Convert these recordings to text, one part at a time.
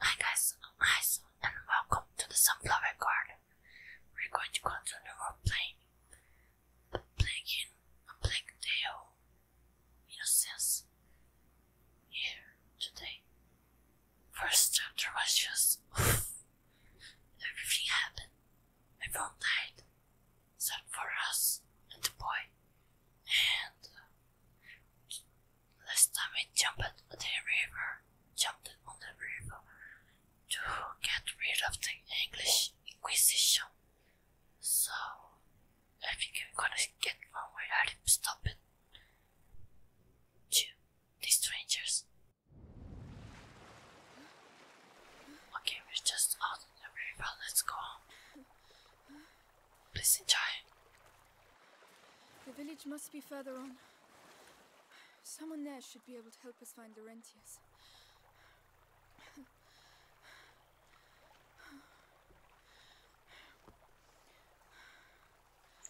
Hi guys, hi am and welcome to the Sunflower Garden. We're going to continue our playing. Playing a Plague Tale Innocence here today. First chapter was just everything happened. Everyone died except for us and the boy. And uh, Last time we jumped at the river, jumped on the river to get rid of the English Inquisition. So I think I'm gonna get one way I stop it. To the strangers. Okay, we're just out in the river, let's go on. Listen, child. The village must be further on. Someone there should be able to help us find Laurentius.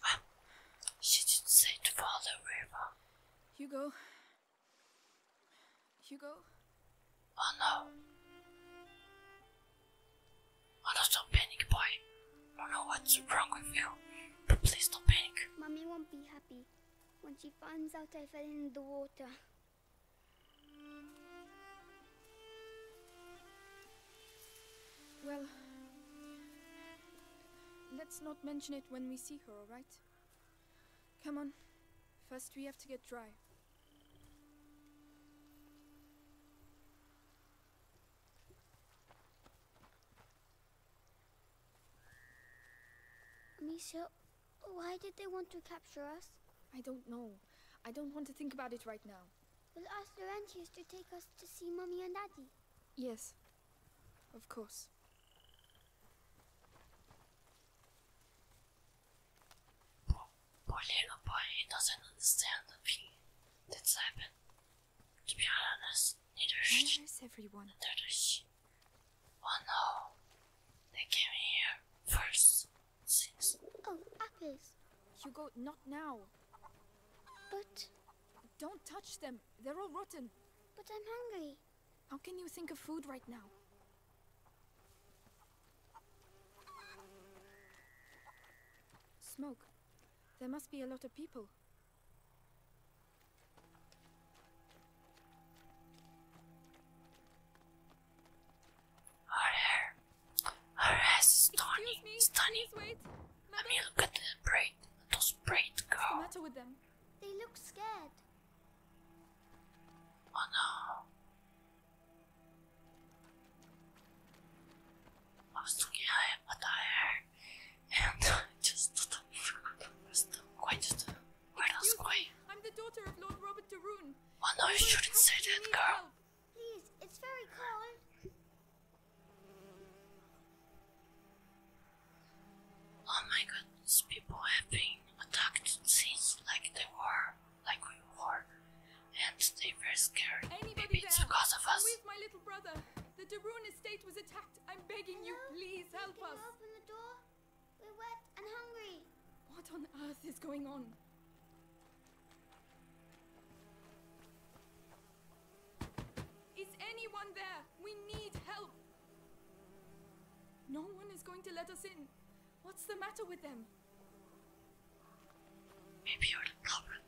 Ah, she didn't say to follow river. Hugo. Hugo. Oh no. Oh, don't panic, boy. I don't know what's wrong with you, but please don't panic. Mommy won't be happy when she finds out I fell in the water. Well, let's not mention it when we see her, alright? Come on. First, we have to get dry. Misha, why did they want to capture us? I don't know. I don't want to think about it right now. We'll ask Laurentius to take us to see Mummy and Daddy. Yes, of course. Poor little boy, he doesn't understand the thing that's happened. To be honest, neither should Where is everyone? Neither she. Oh no, they came here first. Since. Oh, apples. go not now. But. Don't touch them. They're all rotten. But I'm hungry. How can you think of food right now? Smoke. There must be a lot of people. Her hair. Her hair is Me, stunning. Wait. I mean, look at the braid. Those What's the matter with them? They look scared. Oh no. I was looking at it, but and just quite just Where's quite? I'm the daughter of Lord Well, no, you shouldn't say that, girl. Oh my god, people have been attacked since like they were like we were, and they were scared. Maybe it's because of us. I'm with my little brother. The Darun estate was attacked. I'm begging you, please help Can us. You open the door. We're wet and hungry. What on earth is going on? Is anyone there? We need help. No one is going to let us in. What's the matter with them? Maybe you're covered.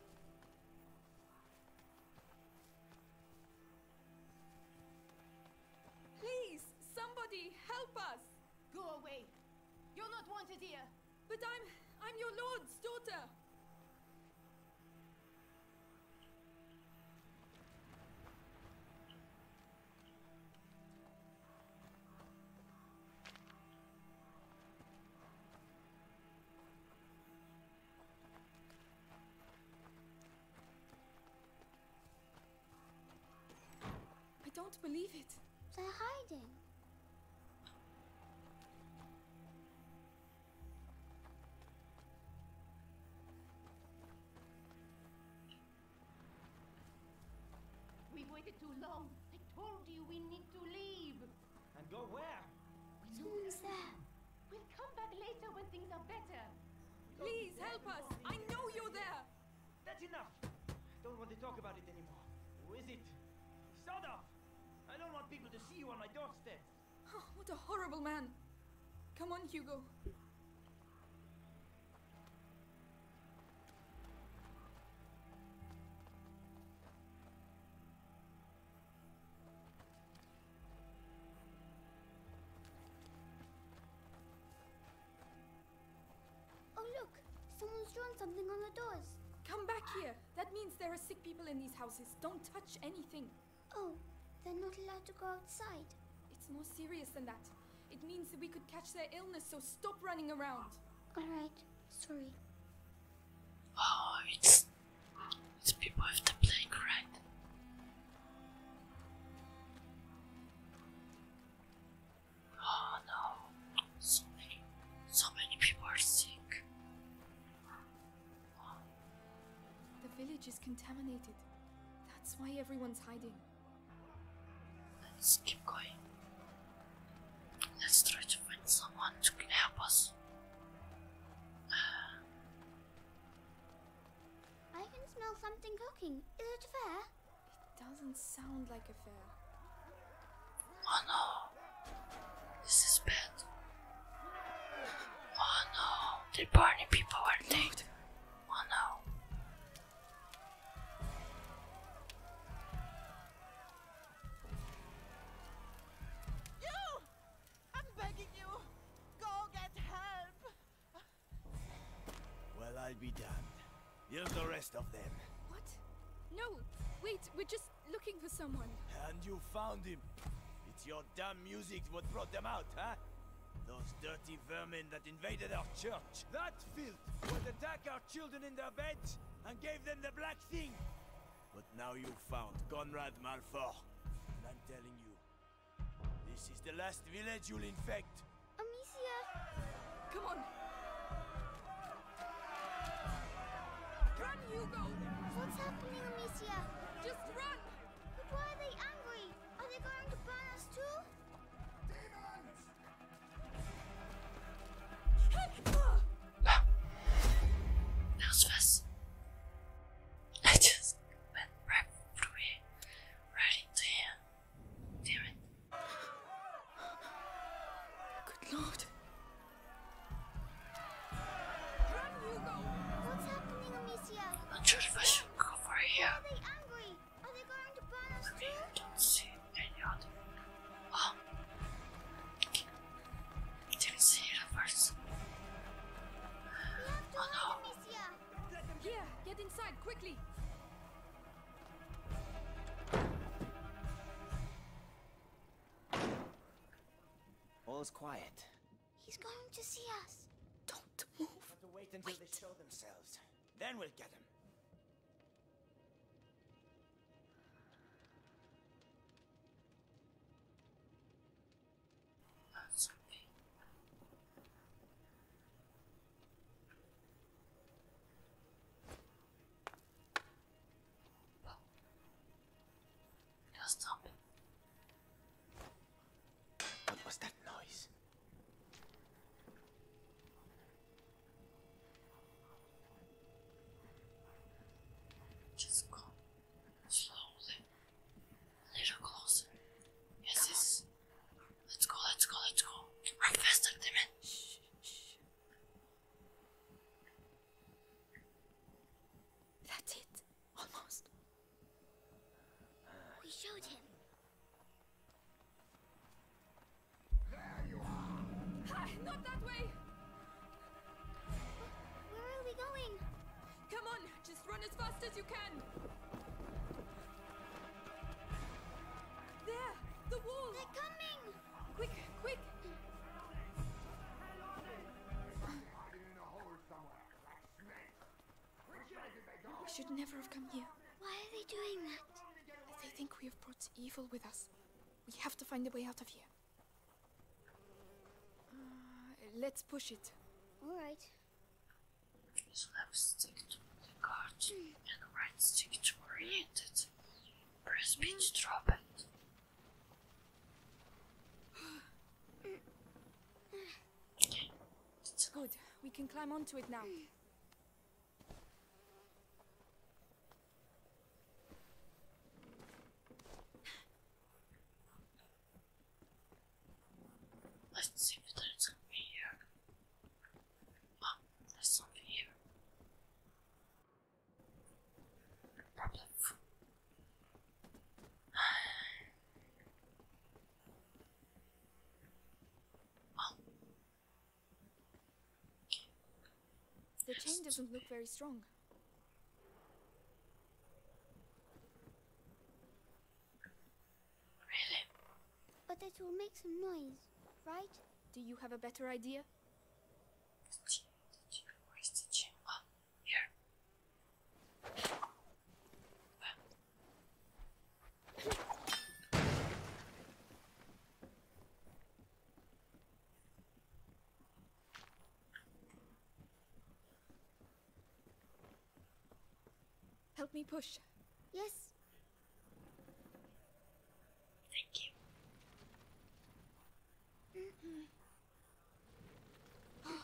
Please, somebody help us! Go away. You're not wanted here. But I'm... I'm your lord's daughter. I don't believe it. They're hiding. We waited too long. I told you we need to leave. And go where? Who's there? We'll come back later when things are better. Please help us. I know you're there. That's enough. I Don't want to talk about it anymore. Who is it? Sod I don't want people to see you on my doorstep. Oh, what a horrible man. Come on, Hugo. Oh, someone's drawn something on the doors. Come back here. That means there are sick people in these houses. Don't touch anything. Oh, they're not allowed to go outside. It's more serious than that. It means that we could catch their illness, so stop running around. Alright, sorry. Oh, it's it's people with the plague, right? Oh no, so many, so many people are sick. The village is contaminated. That's why everyone's hiding. Let's keep going. Let's try to find someone who can help us. I can smell something cooking. Is it fair? It doesn't sound like a fair. Oh no! This is bad. Oh no! They're burning people, aren't they? Oh no! Well, I'll be damned. Here's the rest of them. What? No! Wait, we're just looking for someone. And you found him. It's your damn music what brought them out, huh? Those dirty vermin that invaded our church. That filth would attack our children in their beds and gave them the black thing. But now you've found Conrad Malfort. And I'm telling you, this is the last village you'll infect. Amicia! Come on! Run, Hugo! What's happening, Amicia? Just run! But why are they angry? Are they going to burn us too? Demons! I just went right through right into here. Damn it. Good lord. I'm not I should here. Are they going to burn us I don't see any other. Oh! Didn't see it at first. Oh no! Let them here! Get inside quickly! All's quiet. He's going to see us. Don't move. We have to wait until they show themselves. Then we'll get him. stop What was that noise? Just come slowly, a little closer. Yes, yes. Let's go, let's go, let's go. faster, Damon. Shh, shh. That's it. Almost. We showed him. There you are! Ah, not that way! Where are we going? Come on, just run as fast as you can! There! The wall! They're coming! Quick, quick! In the hole somewhere, like snakes! We should never have come here. Why are they doing that? They think we have brought evil with us. We have to find a way out of here. Uh, let's push it. Alright. Use left stick to the guard hmm. and right stick to orient it. Press B to hmm. drop it. Good. We can climb onto it now. Hmm. Let's see if there's something here. Oh, there's something here. Probably food. The chain doesn't look very strong. Really? But it will make some noise, right? Do you have a better idea? The chain, the chain, where's the chain? Oh, here. Help me push. Yes. Thank you. Mm -hmm. oh.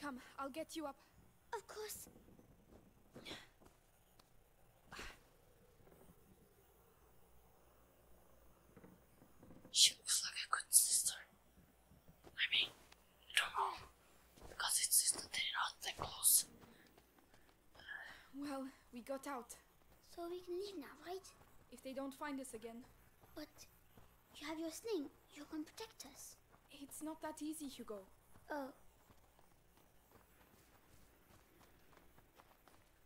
Come, I'll get you up. Of course. She looks like a good sister. I mean, I don't know. Because it's sister, that close. Well, we got out. So we can leave now, right? If they don't find us again. But you have your sling. You can protect us. It's not that easy, Hugo. Oh.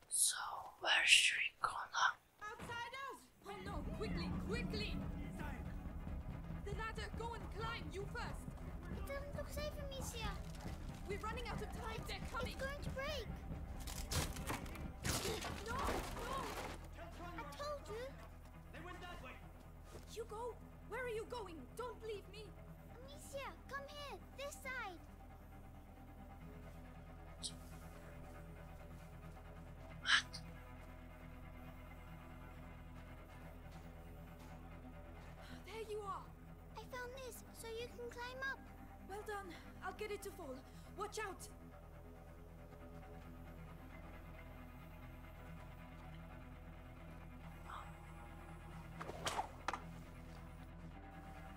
So, where should we go now? Outsiders! Oh no, quickly, quickly! The ladder, go and climb, you first! It doesn't look safe from here. We're running out of time, it's, they're going to break! No! No! I told you! They went that way! Hugo, where are you going? Don't leave me! Amicia, come here! This side! What? There you are! I found this, so you can climb up. Well done. I'll get it to fall. Watch out!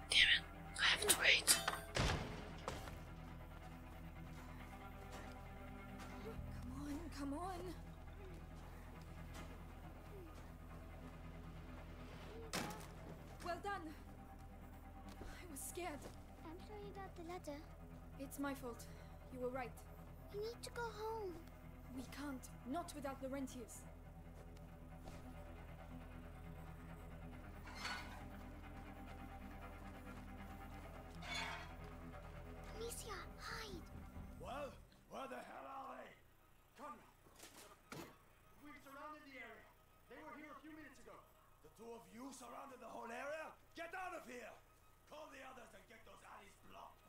Damn it, I have to wait. Come on, come on. Well done. I was scared. I'm sorry about the letter. It's my fault. You were right. We need to go home. We can't. Not without Laurentius. Amicia, hide! Well, where the hell are they? Conrad! We've surrounded the area. They were here a few minutes ago. The two of you surrounded the whole area? Get out of here! Call the others and get those alleys blocked.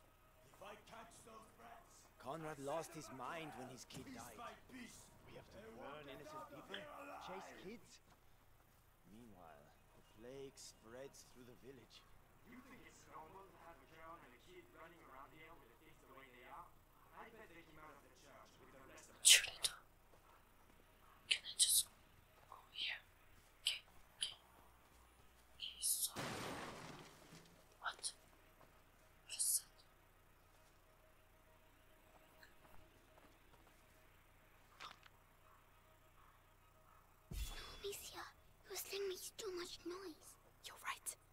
If I catch those brats... Conrad lost his mind when his kid died. By piece. We have to warn innocent people, chase kids. Meanwhile, the plague spreads through the village. You think it's normal to have a girl and a kid running around here with the things the way they are? Shoot it up. Can I just go here? Okay, okay. Okay, What? What's that? Novicia, your thing makes too much noise. You're right.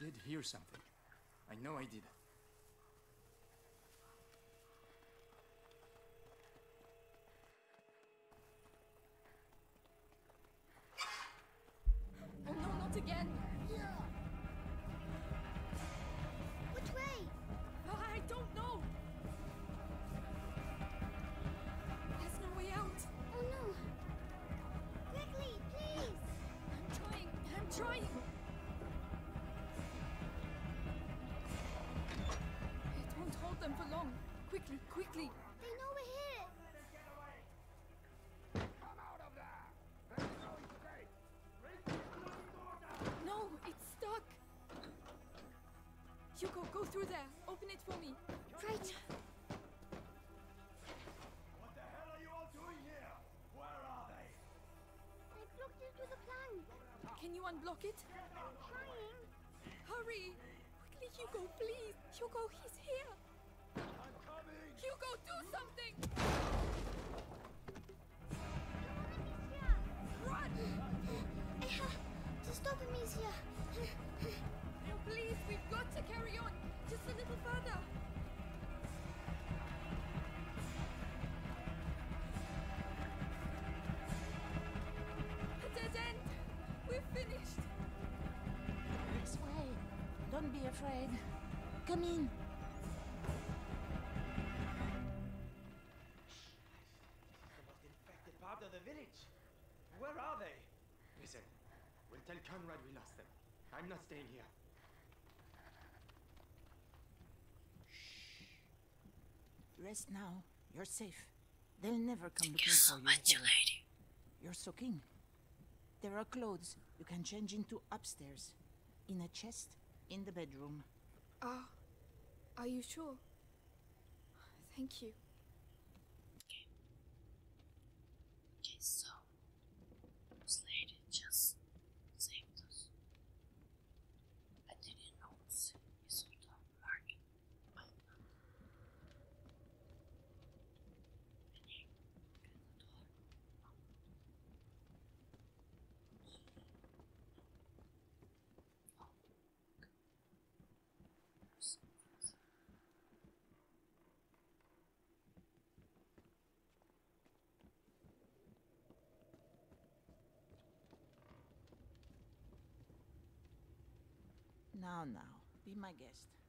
I did hear something. I know I did. Oh no, not again! Which way? Oh, I don't know! There's no way out! Oh no! Quickly, please! I'm trying, I'm trying! It not hold them for long. Quickly, quickly! They know we're here! Come out no it's stuck! Hugo, go through there. Open it for me. Right. What the hell are you all doing here? Where are they? They blocked into the plank. Can you unblock it? I'm trying. Hurry! Quickly, Hugo, please! Hugo, he's here! Hugo, do something! Run! To stop him is please, we've got to carry on. Just a little further. A we're finished. This way. Don't be afraid. Come in. The most infected part of the village. Where are they? Listen, we'll tell Conrad we lost them. I'm not staying here. Shh. Rest now. You're safe. They'll never come Thank looking you so for you. Much, lady. You're so keen. There are clothes you can change into upstairs, in a chest in the bedroom. Ah, are you sure? Thank you. Okay. Okay, so this lady just saved us. I didn't know it's on the market, now, now, be my guest.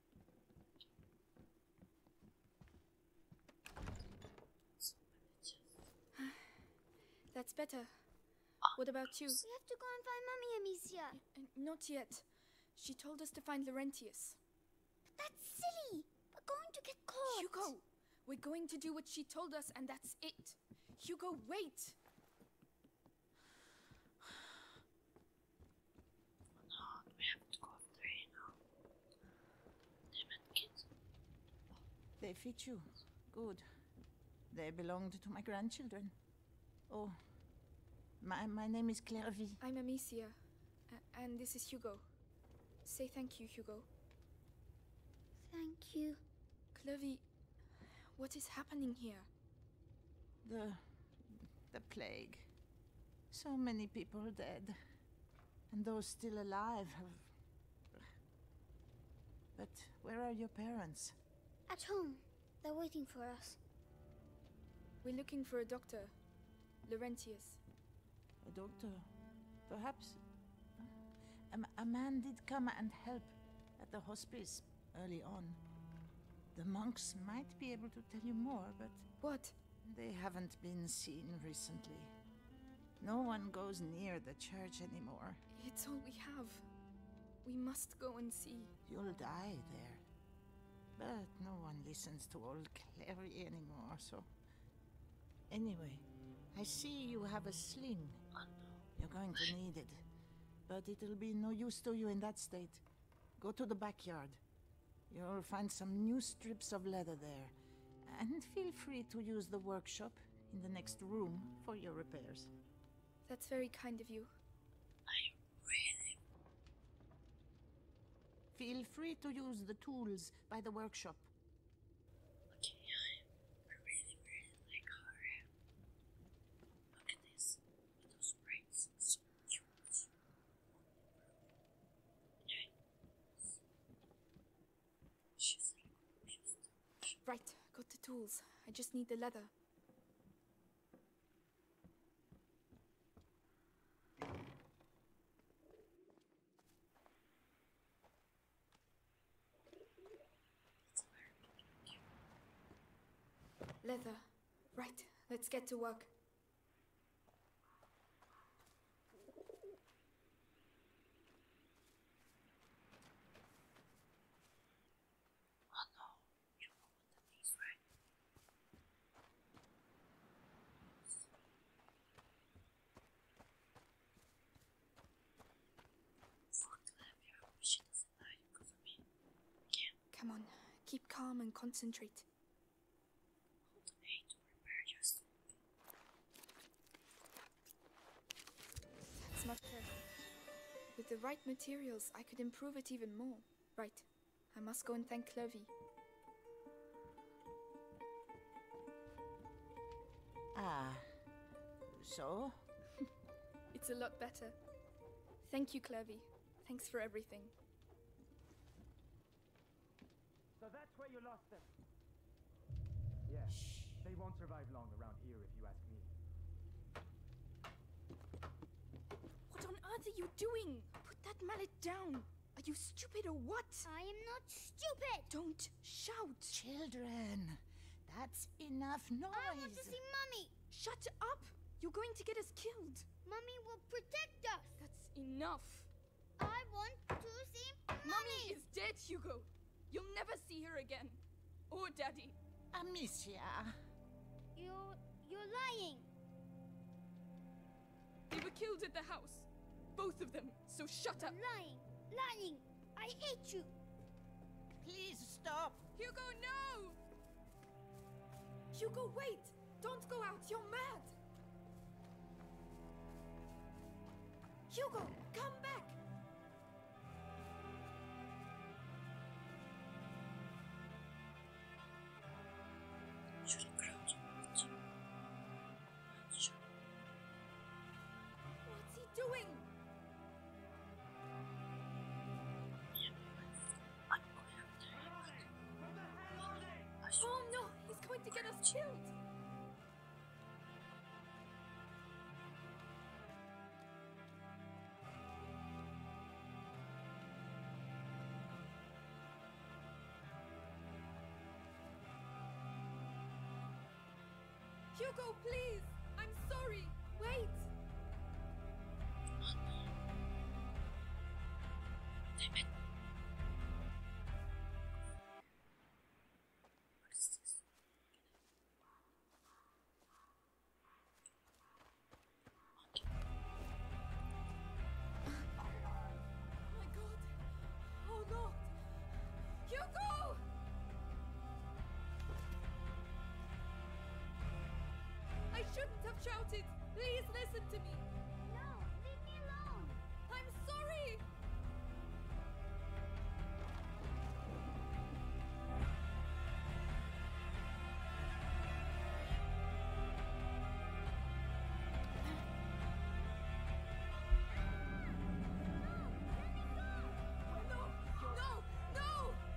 That's better. What about you? We have to go and find Mummy Amicia. Not yet. She told us to find Laurentius. But that's silly. We're going to get caught. Hugo, we're going to do what she told us and that's it. Hugo, wait. One we have to go three now. Damn it, kids. They fit you. Good. They belonged to my grandchildren. Oh, my, my name is Clairvy. I'm Amicia, and this is Hugo. Say thank you, Hugo. Thank you. Clovy, what is happening here? The. the plague. So many people dead. And those still alive have. But where are your parents? At home. They're waiting for us. We're looking for a doctor. Laurentius. A doctor? Perhaps. A, a man did come and help at the hospice early on. The monks might be able to tell you more, but... What? They haven't been seen recently. No one goes near the church anymore. It's all we have. We must go and see. You'll die there. But no one listens to old Clary anymore, so... Anyway, I see you have a sling. You're going to need it. But it'll be no use to you in that state. Go to the backyard. You'll find some new strips of leather there. And feel free to use the workshop in the next room for your repairs. That's very kind of you. I really... Feel free to use the tools by the workshop. Okay, I really, really like her. Look at this sprites and spirituals Right, got the tools. I just need the leather. Leather. Right, let's get to work. Oh no, you opened the piece, right? Food lab, your mission Come on, keep calm and concentrate. With the right materials, I could improve it even more. Right, I must go and thank Clovy. Ah, so? it's a lot better. Thank you, Clevy. Thanks for everything. So that's where you lost them. Yeah, they won't survive long around here if you ask me. What on earth are you doing? Put that mallet down. Are you stupid or what? I am not stupid. Don't shout. Children, that's enough noise. I want to see Mummy. Shut up! You're going to get us killed. Mummy will protect us. That's enough. I want to see Mommy. Mommy is dead, Hugo. You'll never see her again. Or oh, Daddy. Amicia. You... you're lying. They were killed at the house. Both of them. So shut up. Lying. Lying. I hate you. Please stop. Hugo, no! Hugo, wait! Don't go out! You're mad! Hugo, come back! What's he doing? Oh no, he's going to get us chilled. Hugo, please! I'm sorry! Wait! Oh my god! Oh no! Hugo! I shouldn't have shouted! Please listen to me! No, leave me alone! I'm sorry! No, no, no, no!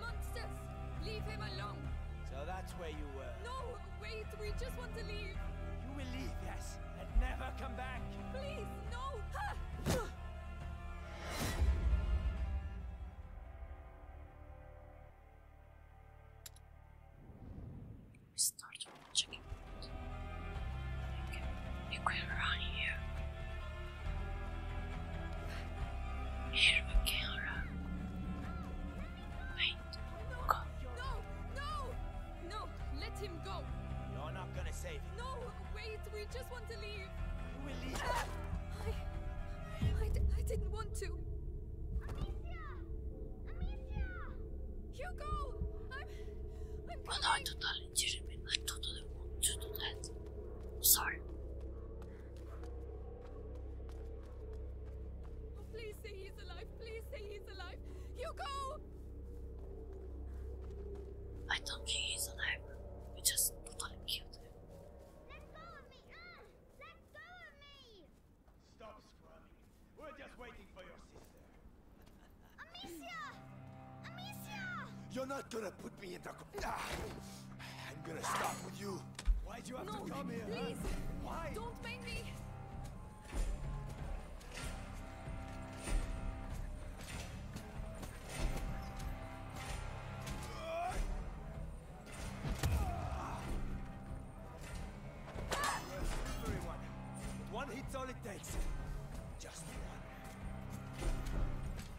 Monsters! Leave him alone! So that's where you were. No, wait, we just want to leave. You will leave, yes, and never come back. Please, no! We start watching it. can run here. Here we can run. Wait, go. No, no, no, let him go. You're not gonna save him. No, wait, we just want to leave. We'll leave. I, I, I didn't want to. Amicia! Amicia! Hugo! I'm... I'm... Well, no, I totally didn't mean I totally want to do that. Sorry. Oh, please say he's alive. Please say he's alive. Hugo! I don't think he's alive. We just totally killed him. Let go of me! Uh, let go of me! Stop scrumming. We're just waiting for your sister. Amicia! Amicia! You're not gonna put me into Ah, I'm gonna stop with you. Why'd you have to come here? Please! Why? Don't make me! One hit's all it takes. Just one.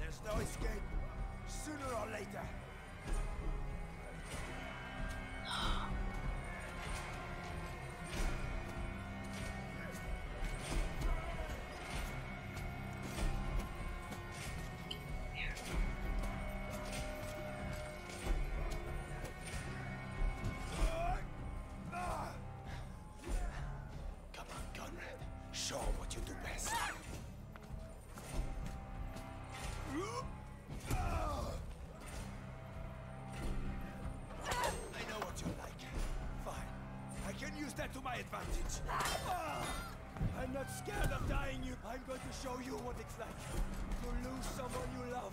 There's no escape. Sooner or later. Here. Come on, Gunnar. Show what you do best. I know what you like. Fine. I can use that to my advantage. I'm not scared of dying you. I'm going to show you what it's like to lose someone you love.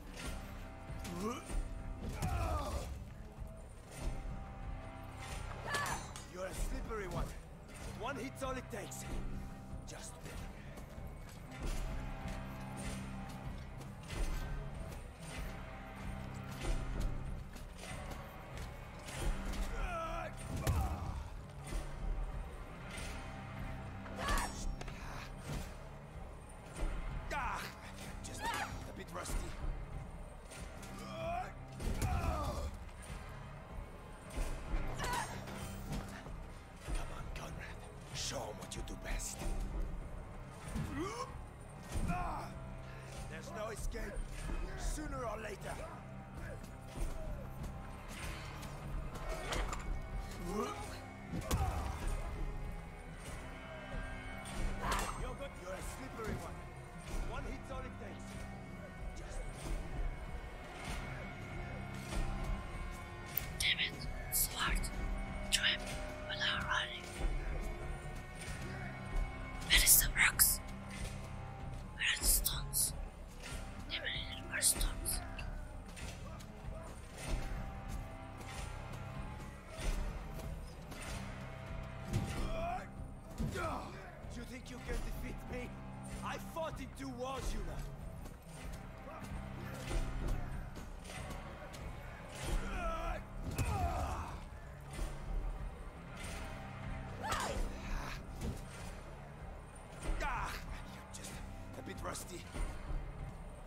You're a slippery one. One hit's all it takes. Just better. Ah, just a bit rusty. Come on, Conrad. Show what you do best. there's no escape. Sooner or later. Damn it, it's hard to aim without running. Where is the rocks? Where are the stones? Damn it, there are stones. You think you can defeat me? I fought in two wars, you know. Ah, you're just a bit rusty.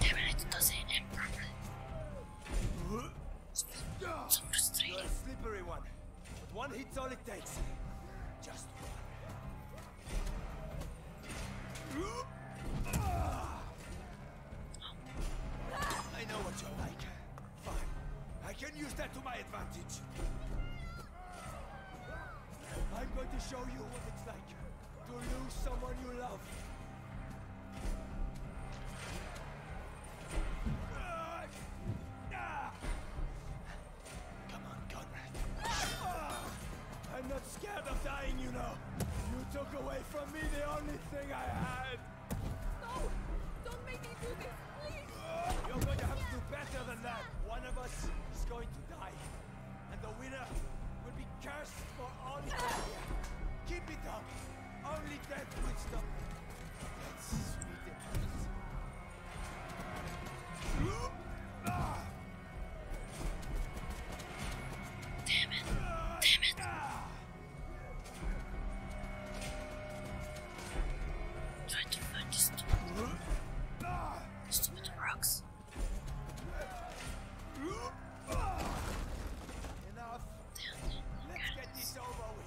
Damn it, it doesn't end properly. So frustrating. You're a slippery one, one hit's all it takes. Just I know what you're like. Fine. I can use that to my advantage. I'm going to show you what it's like to lose someone you love. Come on, Conrad. I'm not scared of dying, you know. You took away from me the only thing I had. No! Don't make me do this, please! Uh, you're going to have to do better than that. One of us is going to die. And the winner will be cursed for all eternity. Keep it up. Only death will That's sweet Damn it. Damn it. Try to find these stupid, stupid rocks. Enough. Damn it. Let's get this over with.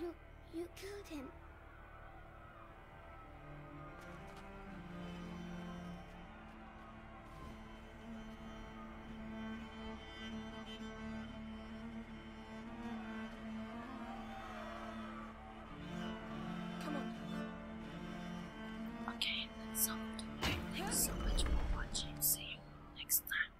You... you killed him. Come on. Okay, that's all Thanks so much for watching. See you next time.